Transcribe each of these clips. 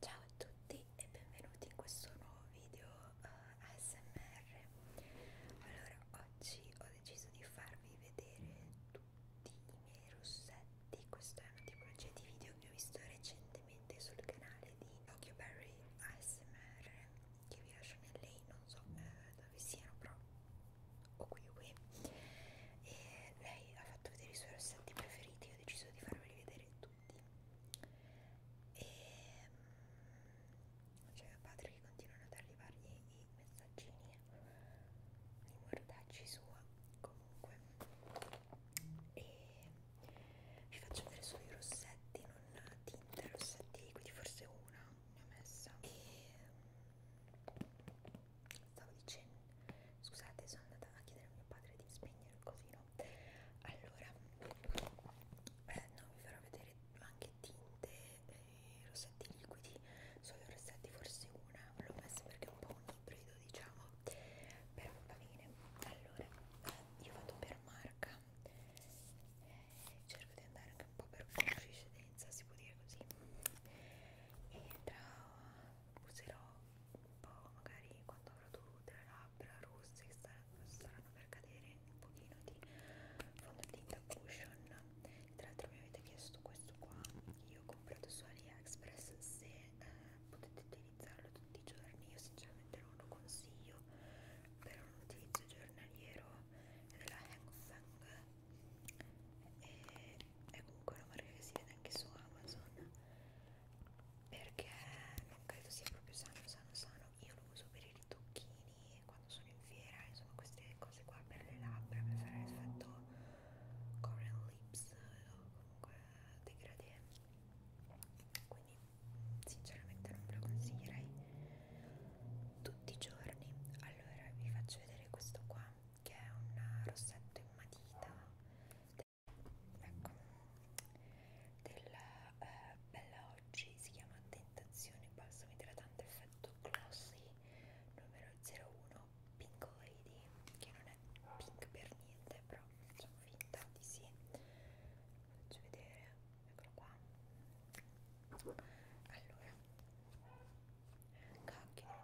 Ciao a tutti e benvenuti in questo nuovo video uh, eh, ASMR. Allora, oggi ho deciso di farvi vedere tutti i miei rossetti. Questa è una tipologia di video che ho visto recentemente sul canale di Tokyo Berry ASMR, che vi lascio nel lei, non so eh, dove siano, però o qui o qui. E lei ha fatto vedere i suoi rossetti preferiti, ho deciso di farveli vedere tutti e mm, c'è cioè, mio padre che continuano ad arrivargli i messaggini di mordacci sua comunque e vi faccio vedere solo i rossetti non tinte rossetti liquidi forse una ne ho messa e mm, stavo dicendo scusate sono andata a chiedere a mio padre di spegnere il cosino allora eh, no, vi farò vedere anche tinte e rossetti liquidi solo rossetti forse una l'ho messa perché è un po' un ibrido diciamo però va bene allora eh, io vado per marca eh, cerco di andare anche un po' per coincidenza si può dire così e tra userò un po' magari quando avrò tutte le labbra rosse che star staranno per cadere un pochino di fondotinta cushion tra l'altro mi avete chiesto questo qua io ho comprato su AliExpress se eh, potete utilizzarlo tutti i giorni io sinceramente non lo consiglio per un utilizzo giornaliero della Hang Fang e è comunque una marca che si vede anche su Amazon perché non credo sia proprio sano sano sano io lo uso per i ritocchini quando sono in fiera insomma queste cose qua per le labbra per fare l'effetto coral lips o comunque degradé quindi sinceramente non ve lo consiglierei tutti i giorni allora vi faccio vedere questo qua che è un rossetto in matita Ecco, della eh, Bella Oggi si chiama Tentazione Balsamo Idratante Effetto Glossy numero 01 Pinkoidi, che non è pink per niente, però facciamo finta di sì. Faccio vedere, eccolo qua. Allora, cacchio,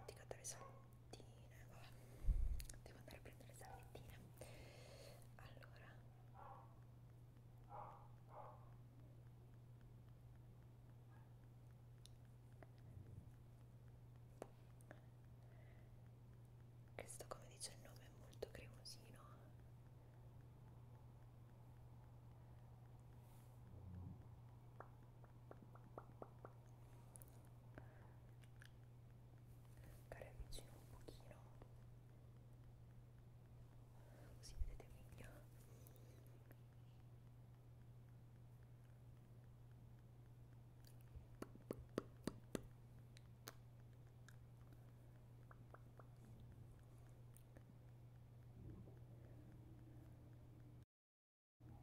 dimenticatore salute salvettine vabbè devo andare a prendere le salvettine allora questo come dice il nome è molto cremosino magari avvicino un pochino così vedete meglio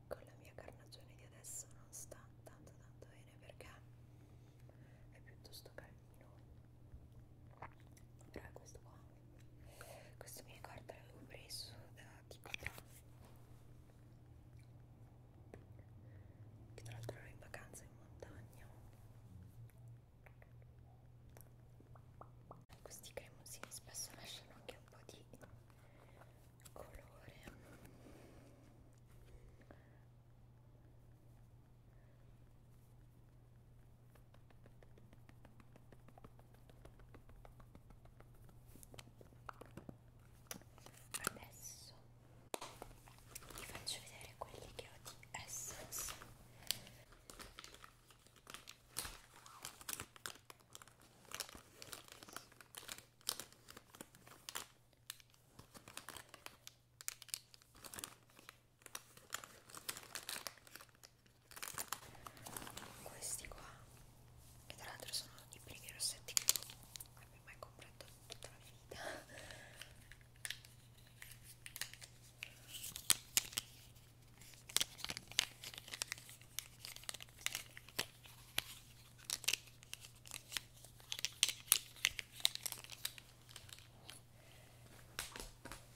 con la mia carnagione di adesso non sta tanto tanto bene bene perché è piuttosto calmino però è questo qua questo mi ricorda l'avevo preso da Tipita che tra l'altro ero in vacanza in montagna questi cremosini spesso lasciano anche un po' di colore Adesso vi faccio vedere quelli che ho di Essence questi qua che tra l'altro sono i primi rossetti che non abbia mai comprato tutta la vita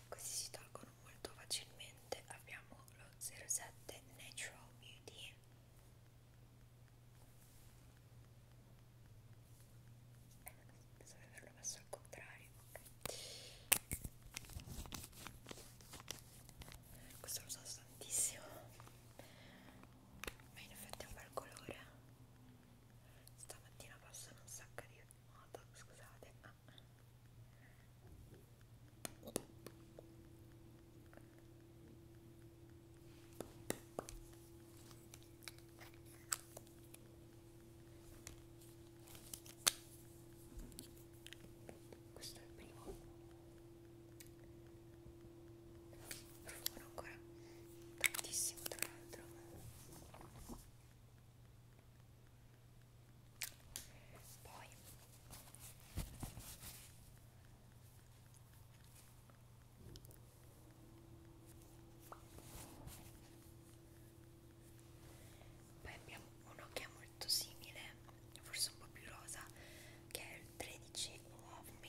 questi si tolgono molto facilmente. Abbiamo lo 07 Natural Beauty. Pensavo di averlo messo al contrario. Okay. Questo lo usato tantissimo ma in effetti è un bel colore stamattina passano un sacco di moto scusate ma questo è il primo Profumo ancora tantissimo tra l'altro poi poi abbiamo un'occhia molto simile forse un po' più rosa che è il 13 Love Me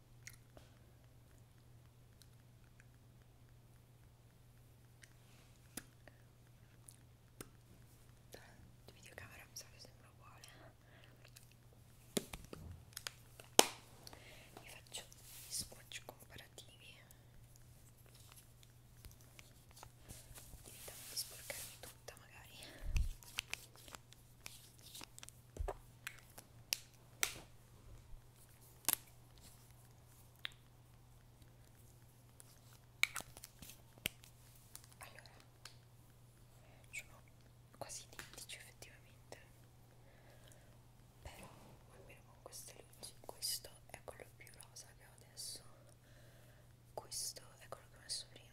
videocamera mi sa che sembra uguale vi faccio gli swatch comparativi evitando di sporcarmi tutta magari allora, sono quasi identici effettivamente, però almeno con queste luci, questo è quello più rosa che ho adesso, questo è quello che ho messo prima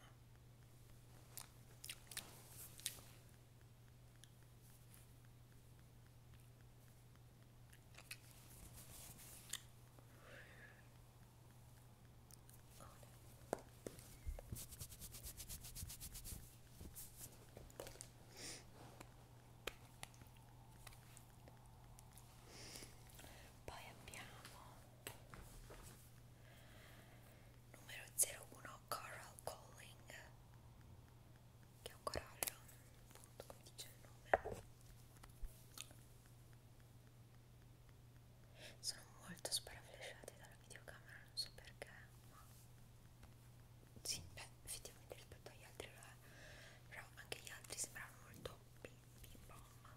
poi abbiamo numero 01 Coral Calling che è un corallo appunto come dice il nome sono molto sparaflesciate dalla videocamera non so perché ma sì beh effettivamente rispetto agli altri lo è però anche gli altri sembrano molto bim bim bom allora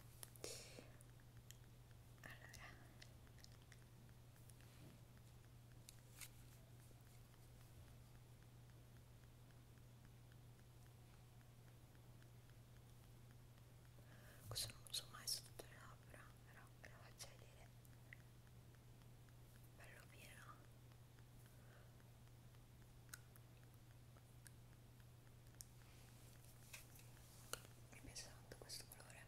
questo non lo uso mai sotto le labbra, però ve lo faccio vedere. Bello pieno. Mi piace tanto questo colore.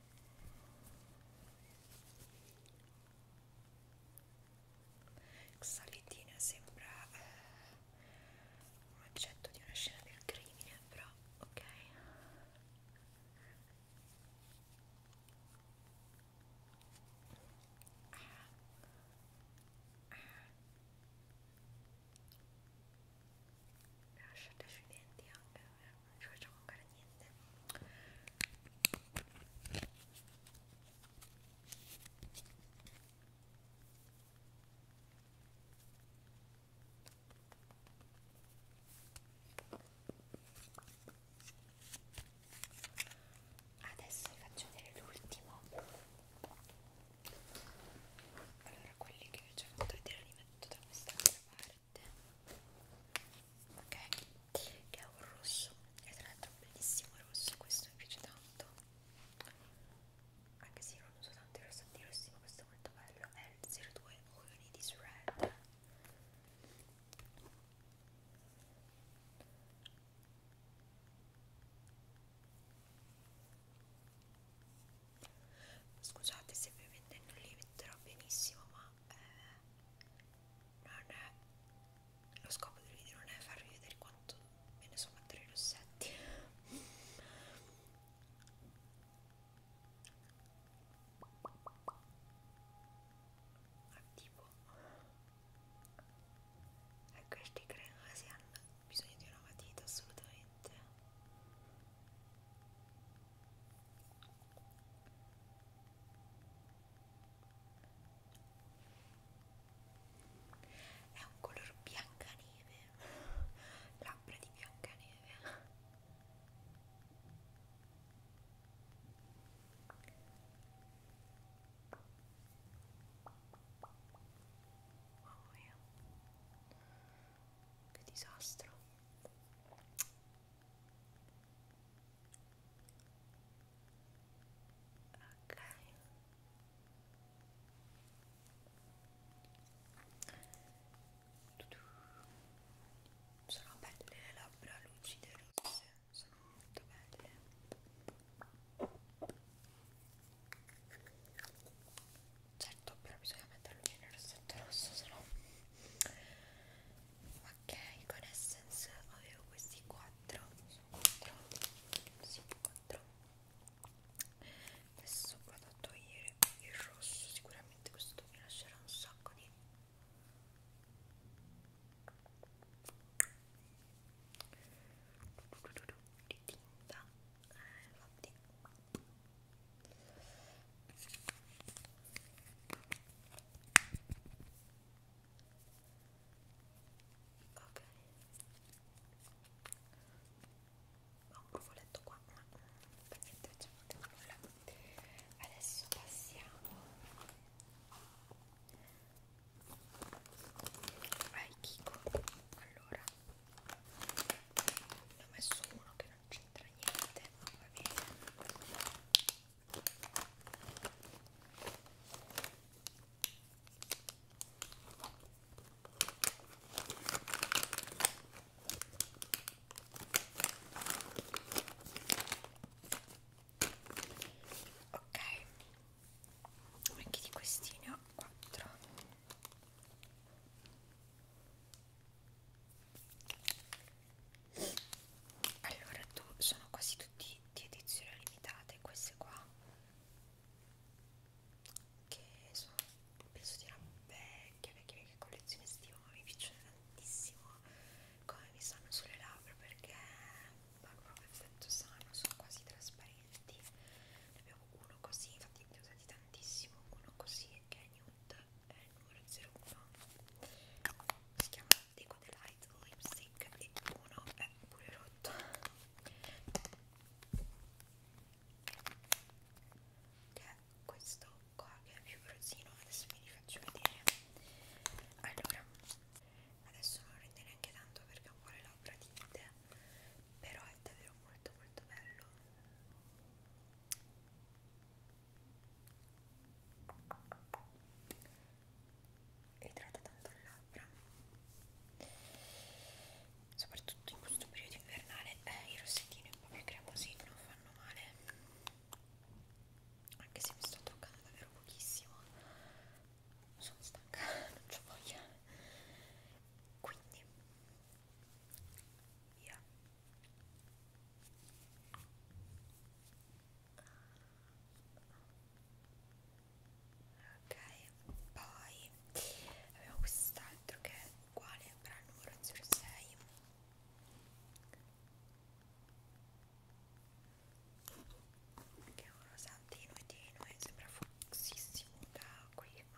Xaletina sembra eh, un oggetto di una scena del crimine, però ok. Ah. Ah lasciate sui denti anche non ci facciamo mancare niente Adesso vi faccio vedere l'ultimo. Allora, quelli che vi ho già fatto vedere li metto da quest'altra parte ok che è un rosso e tra l'altro un bellissimo rosso questo mi piace tanto anche se io non uso tanti rossanti rossi ma questo è molto bello è il 02 Only This Red ok Scusate se ovviamente non li metterò benissimo, ma eh, non è, lo scopo del video non è farvi vedere quanto me ne sono tre rossetti. Ma tipo, e ecco, questi credo che si hanno bisogno di una matita assolutamente è un color biancaneve, labbra di biancaneve. Mamma oh, mia, che disastro ok sono belle le labbra lucide rosse sono molto belle certo però bisogna mettere il rossetto rosso se no ok con essence avevo questi 4 4 sì 4 questo qua da togliere il rosso sicuramente questo mi lascerà un sacco di di tinta eh, infatti Ok. Ho un rufoletto qua, ma per niente facciamo nulla. Adesso passiamo ai Kiko. Allora, ne ho messo uno che non c'entra niente, va bene. Ok, anche di questi ne ho quattro allora tu sono quasi tutti di edizione limitate queste qua che sono penso di una vecchia vecchia vecchia collezione estiva ma mi piacciono tantissimo come mi stanno sulle labbra perché hanno proprio effetto sano sono quasi trasparenti ne abbiamo uno così infatti ne ho usati tantissimo uno così che è nude è il numero 01 si chiama Deco Delight Lipstick e uno è pure rotto che è questo qua che è più rosino adesso vi faccio vedere allora adesso non rende neanche tanto perché è un po' le labbra tinte però è davvero molto molto bello idrata tanto le labbra soprattutto in questo periodo invernale eh, il rossettino e un po' più cremosino non fanno male anche se mi sto toccando davvero pochissimo sono stanca non c'ho voglia quindi via ok poi abbiamo quest'altro che è uguale però il numero 06 che è un rosantino e tenue sembra fuoxissimo da qui ma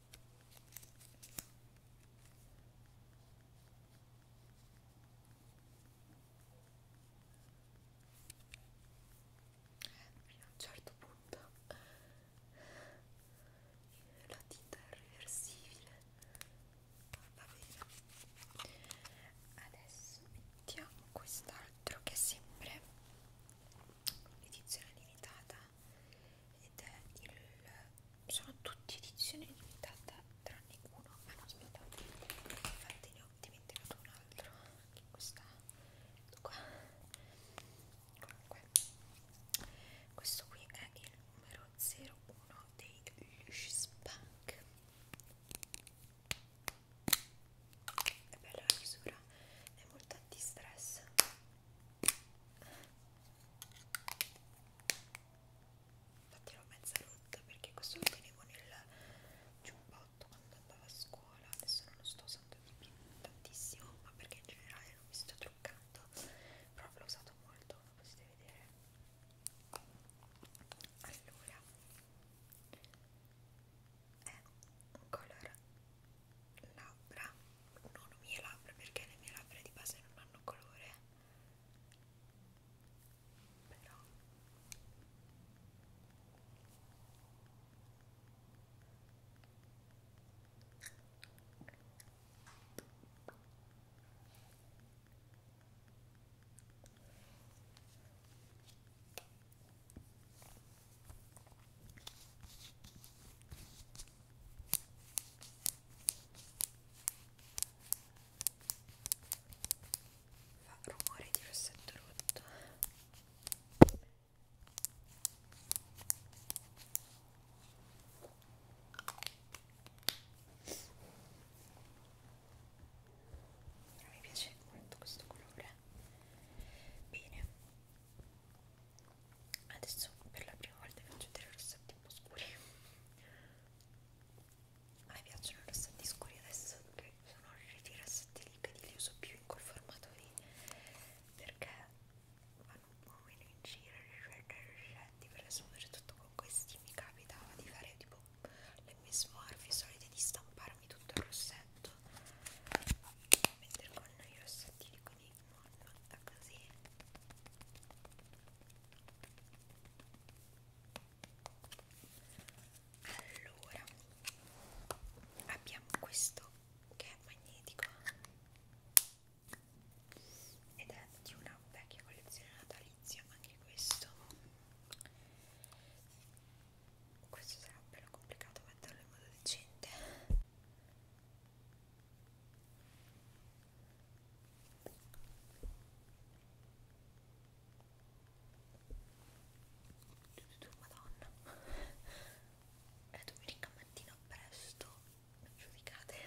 a un certo punto la tinta è reversibile va bene adesso mettiamo quest'altro che è sempre edizione limitata ed è il sono tutti edizione limitata tranne uno ma non aspettate infatti ne ho dimenticato un altro che questa ecco qua comunque questo qui è il numero 01 dei Lush Bank è bella la misura è molto anti stress infatti l'ho mezza rotta perché questo lo tenevo nel giubbotto quando andavo a scuola adesso non lo sto usando più tantissimo ma perché in generale non mi sto truccando però l'ho usato molto come potete vedere allora è un color labbra non mie labbra perché le mie labbra di base non hanno colore però Fa rumore di rossetto rotto. Però mi piace molto questo colore. Bene adesso per la prima volta faccio dei rossetti un po' scuri a me piacciono i rossetti scuri adesso che sono arrivati i rossetti liquidi li uso più in quel formato lì perché vanno un po' meno in giro rispetto ai rossetti perché soprattutto con questi mi capitava di fare tipo le mie smorfie solite di stamparmi tutto il rossetto mentre con i rossettini con non fatta così allora abbiamo questo che è magnetico ed è di una vecchia collezione natalizia anche questo questo sarà bello complicato metterlo in modo decente Madonna è domenica mattina presto giudicate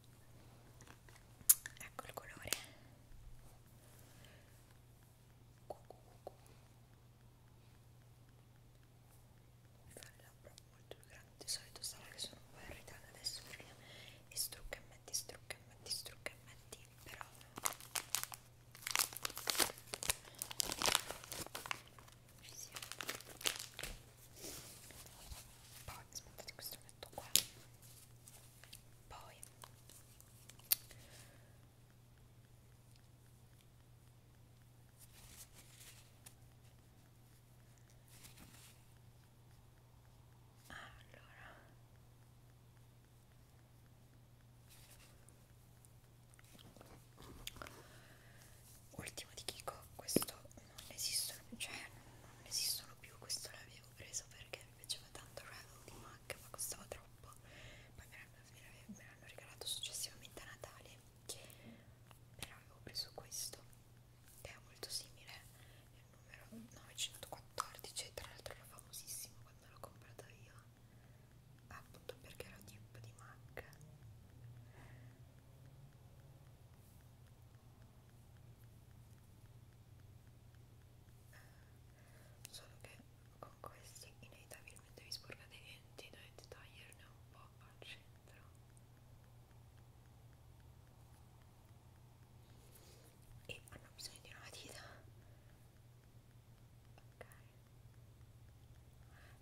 ecco il colore mi fa le labbra molto più grandi di solito sarà che sono un po' irritata adesso perché mi strucca e metti, strucca e metti, strucca e metti però ci siamo poi aspettate questo metto qua poi allora ultimo di Kiko questo non esistono cioè non esistono più questo l'avevo preso perché mi piaceva tanto Rebel di MAC ma costava troppo poi me l'hanno, me l'hanno regalato successivamente a Natale però avevo preso questo che è molto simile il numero 914 tra l'altro era famosissimo quando l'ho comprato io appunto perché era tipo di MAC solo che con questi inevitabilmente vi sporcate i denti dovete toglierne un po' al centro e hanno bisogno di una dita ok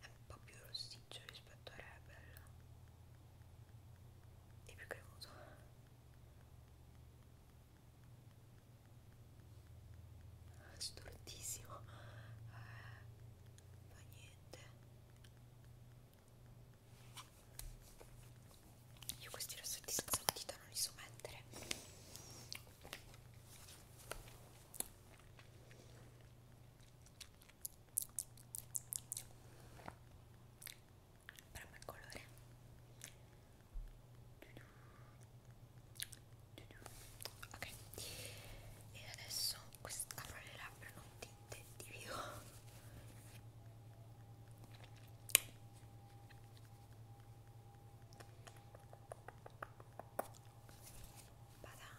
è un po' più rossiccio rispetto a Rebel e più cremoso assurtissimo eh, fa niente io questi rossetti senza matita non li so mettere Proprio il colore ok e adesso apro le labbra non tinte di più Badà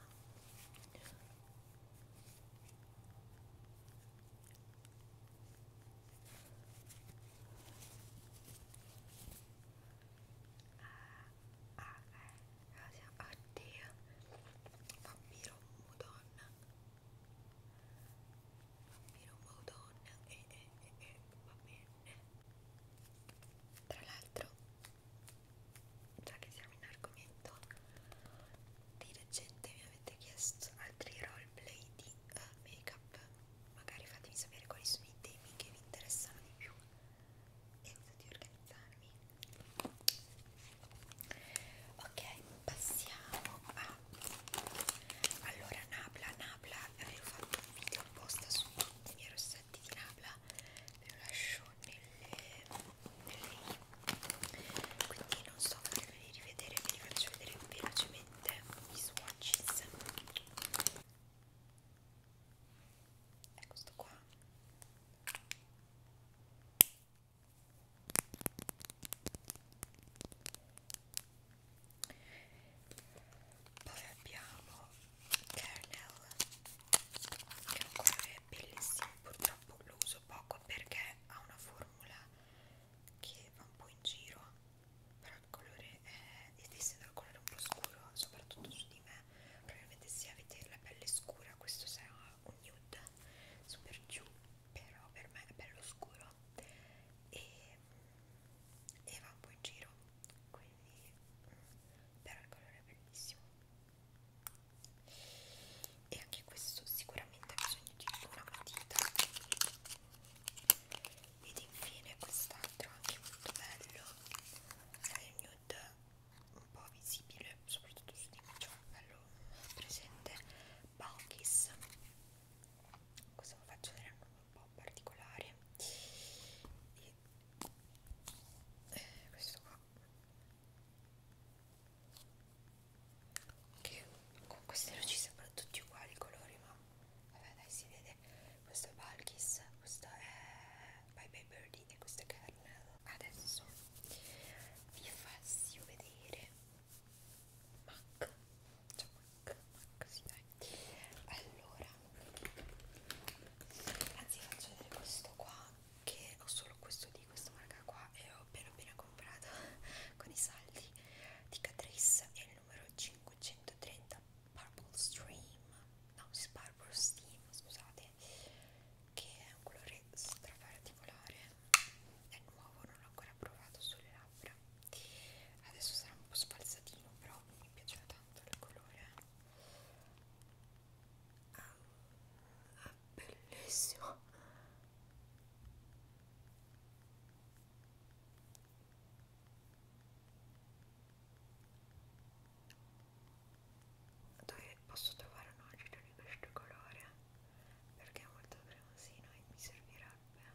ah, ah, eh. oddio vampiro madonna vampiro madonna e eh, eh, eh, eh, va bene tra l'altro già che siamo in argomento di recente mi avete chiesto altri roleplay di uh, eh, make up magari fatemi sapere quali sono i temi che vi interessano di più penso di organizzarmi ok passiamo a allora Nabla Nabla avevo fatto un video apposta su tutti i miei rossetti di Nabla ve lo lascio nelle nelle i quindi non so farveli rivedere ve li faccio vedere velocemente ovviamente i swatches è questo qua poi abbiamo Kernel che è un colore bellissimo purtroppo lo uso poco perché ha una formula che va un po' in giro però il colore è, essendo il colore un po' scuro soprattutto su di me probabilmente se avete la pelle scura questo sarà un nude super giù però per me è bello scuro e, e va un po' in giro quindi mm, però il colore è bellissimo e anche questo sicuramente bisogna Utilizzo una matita ed infine quest'altro anche molto bello è il nude un po' visibile soprattutto su di me c'è cioè un bello presente Balkis questo lo faccio vedere un po' particolare e eh, questo qua che con queste luci sembrano tutti uguali i colori ma vabbè dai si vede questo è Balkis questo è Bye Bye Birdie e questo è Kernel adesso vi faccio vedere Mac cioè Mac, Mac sì dai allora anzi faccio vedere questo qua che ho solo questo di questa marca qua e ho appena appena comprato con i saldi di Catrice e numero 530 Purple Stream, no, Purple Steam, scusate, che è un colore stra particolare, è nuovo, non l'ho ancora provato sulle labbra. Adesso sarà un po' sfalsatino, però mi piace tanto il colore. Ah, è bellissimo dove posso trovare un acido di questo colore perché è molto cremosino e mi servirebbe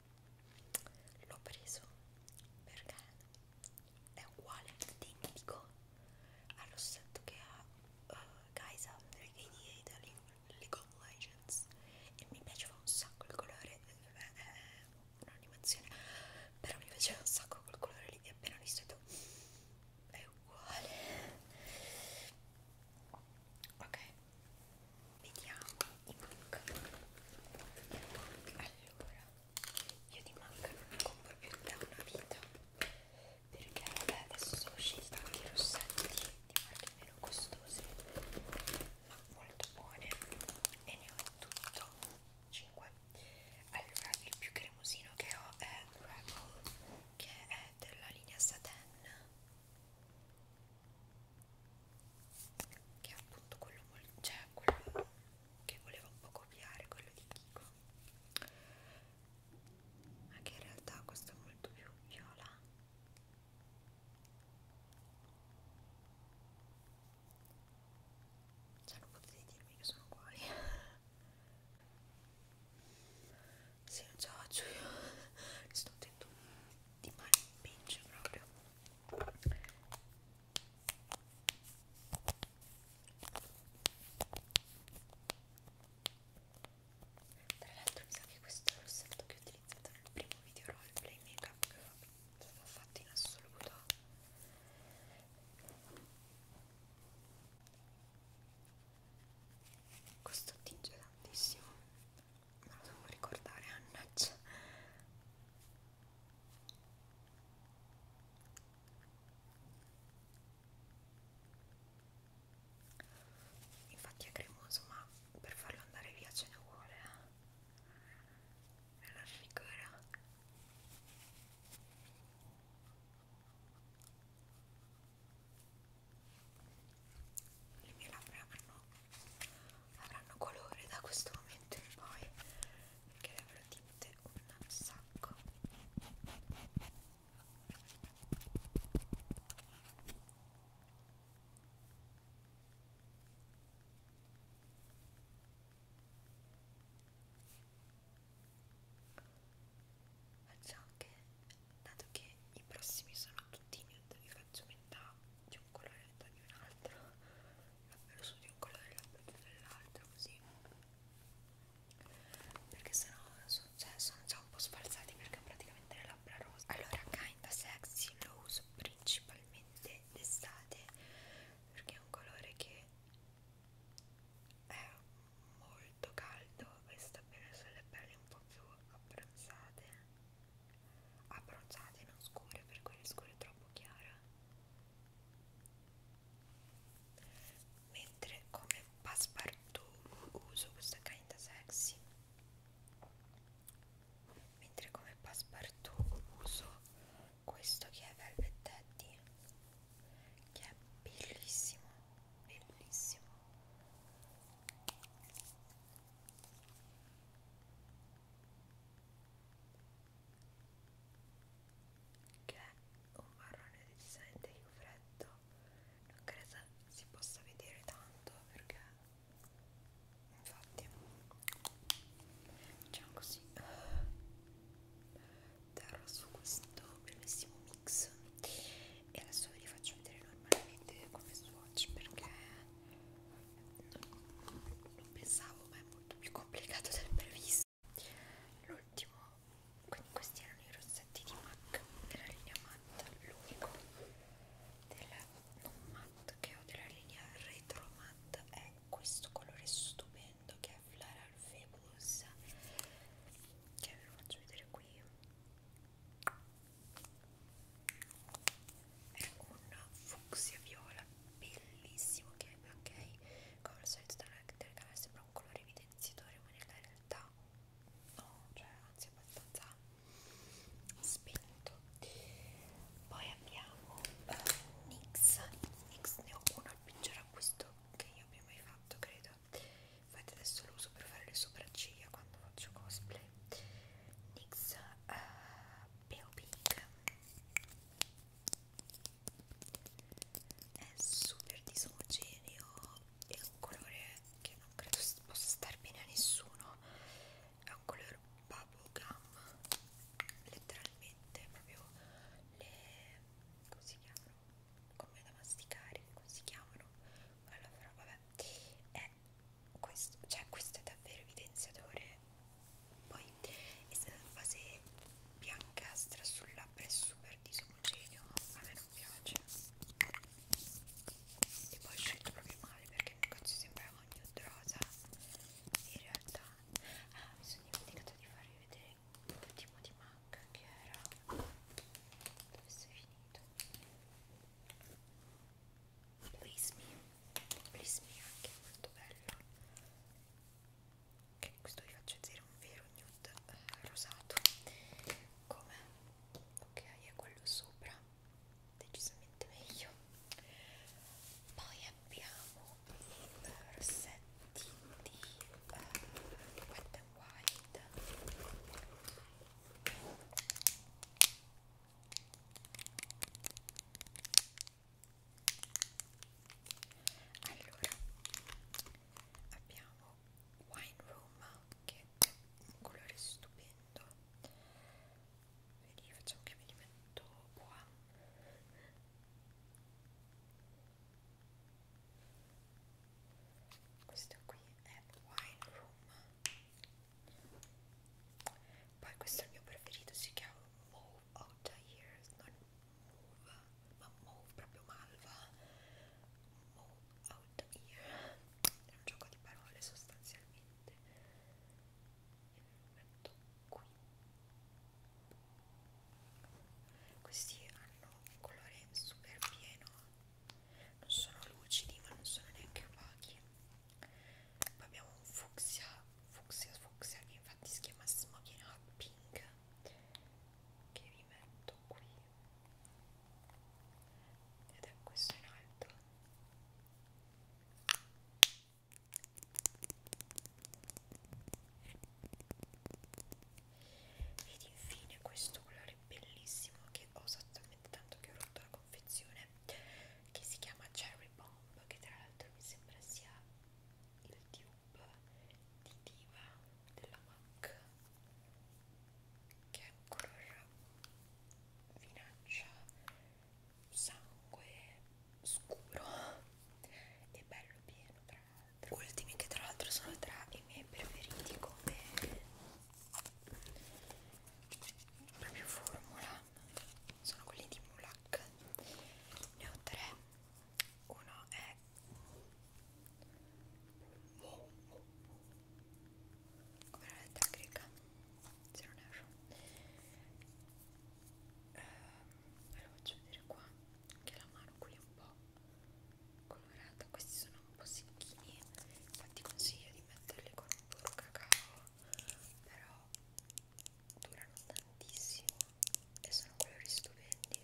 l'ho preso perché è uguale, identico al rossetto che ha uh, Gaisa Renegade League of Legends e mi piaceva un sacco il colore, eh, è un'animazione, però mi piaceva un sacco quel colore lì e appena ho visto mm, è uguale ok vediamo i MAC allora io di MAC non ne compro più da una vita perché vabbè adesso sono usciti tanti rossetti di marche meno costose ma molto buone e ne ho in tutto 5 allora il più cremosino che ho è Rebel che è della linea Satin che è appunto quello, cioè quello che volevo un po' copiare, quello di Kiko ma che in realtà questo è molto più viola cioè non potete dirmi che sono uguali sì, non ce la faccio io, mi sto attento di male in peggio proprio tra l'altro mi sa che questo è l'ossetto che ho utilizzato nel primo video roleplay makeup che ho fatto in assoluto questo tinge tantissimo me lo devo ricordare annaccia infatti è cremoso ma per farlo andare via ce ne vuole eh? me lo figura le mie labbra avranno, avranno colore da questo momento in poi perché le avrò tinte un sacco Faccio anche, dato che i prossimi sono tutti in niente, li faccio metà di un colore e metà di un altro, l'albero su di un colore e l'albero dell'altro, così perché sennò sono, cioè, sono già un po' sfalsati perché praticamente le labbra rosa allora Kinda Sexy lo uso principalmente d'estate perché è un colore che è molto caldo e sta bene sulle pelli un po' più abbronzate abbronzate non scure per quelle scure è troppo chiara mentre come passepartout uso questa kinda sexy mentre come passepartout uso questo che è velvet daddy che è bellissimo bellissimo che è un marrone decisamente più freddo non credo si possa vedere tanto perché infatti diciamo così terrò su questo bellissimo mix e adesso ve li faccio vedere normalmente come swatch perché non pensavo ma è molto più complicato del previsto l'ultimo quindi questi erano i rossetti di MAC della linea matte l'unico della non matte che ho della linea retro matte è questo colore stupendo che è Floral Fabulous che ve lo faccio vedere qui è un fucsia viola bellissimo che ok come al solito dalla telecamera sembra un colore evidenziatore ma nella realtà no cioè anzi abbastanza spento poi abbiamo uh, NYX NYX ne ho uno al peggior acquisto che io abbia mai fatto credo infatti adesso lo uso per fare le sopracciglia quando faccio cosplay NYX uh, eh, Pale Pink è super disomogeneo è un colore che non credo possa star bene a nessuno è un colore bubblegum letteralmente proprio le come si chiamano come da masticare come si chiamano allora vabbè è è eh, questo, cioè questo è davvero evidenziatore poi è stata una base biancastra sul labbro è super disomogeneo a me non piace e poi ho scelto proprio male perché il negozio sembrava nude rosa in realtà ah, mi sono dimenticata di farvi vedere l'ultimo di MAC che era dove sei finito Please Me Please Me anche molto bello ok questo vi faccio vedere un vero nude eh, rosato come ok è quello sopra decisamente meglio poi abbiamo i eh, rossetti di eh, wet and white allora abbiamo Wine Room che è un colore stupendo vedi facciamo che me li metto qua questo qui è Wine Room poi questo è il mio preferito, si chiama Move Out of Years, non Move, ma Move proprio Malva. Move Out of Years. È un gioco di parole sostanzialmente. Metto qui. Questi hanno un colore super pieno. Non sono lucidi, ma non sono neanche opachi poi abbiamo un fucsia fucsia fucsia che infatti si chiama smoking hot pink che vi metto qui ed è questo in alto ed infine questo colore bellissimo che ho esattamente tanto che ho rotto la confezione che si chiama Cherry Bomb che tra l'altro mi sembra sia il tube di diva della MAC che è un color vinaccia sangue scuro e bello pieno tra l'altro ultimi che tra l'altro sono tra i miei preferiti come proprio formula sono quelli di Mulak ne ho tre uno è come la lettera greca se non erro eh, ve eh, lo faccio vedere qua che la mano qui è un po' colorata questi sono un po' secchini infatti consiglio di metterli con un burro cacao però durano tantissimo e sono colori stupendi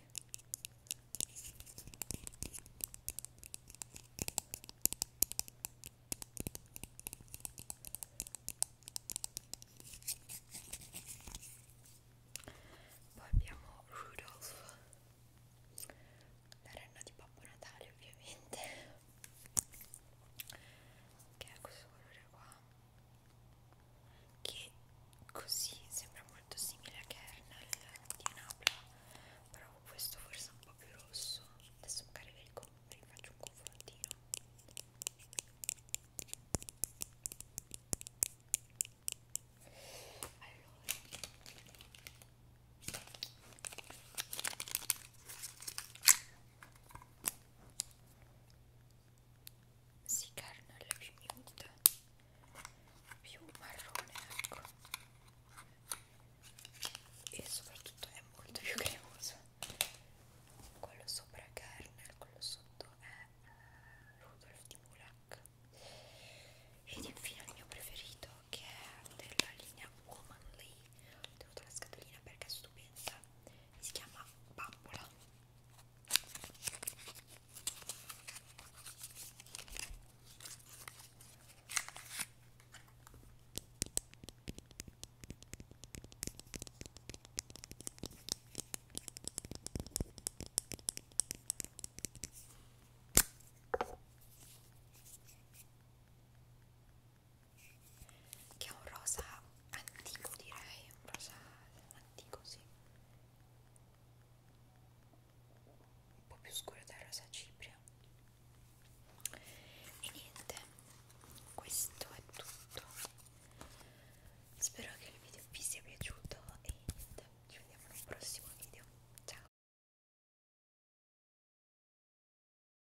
poi abbiamo Rudolph la renna di Babbo Natale ovviamente che è questo colore qua che così sembra molto simile a Kernel di Napla però questo forse è un po' più rosso adesso magari ve li faccio un confrontino allora si kernel più nude più marrone ecco e soprattutto è molto più cremoso quello sopra è kernel quello sotto è eh, Rudolf di Mulak ed infine il mio preferito che è della linea Womanly ho tenuto la scatolina perché è stupenda si chiama bambola che è un rosa antico direi, un rosa antico sì un po' più scuro del rosa cipria e niente questo è tutto spero che il video vi sia piaciuto e niente ci vediamo nel prossimo video ciao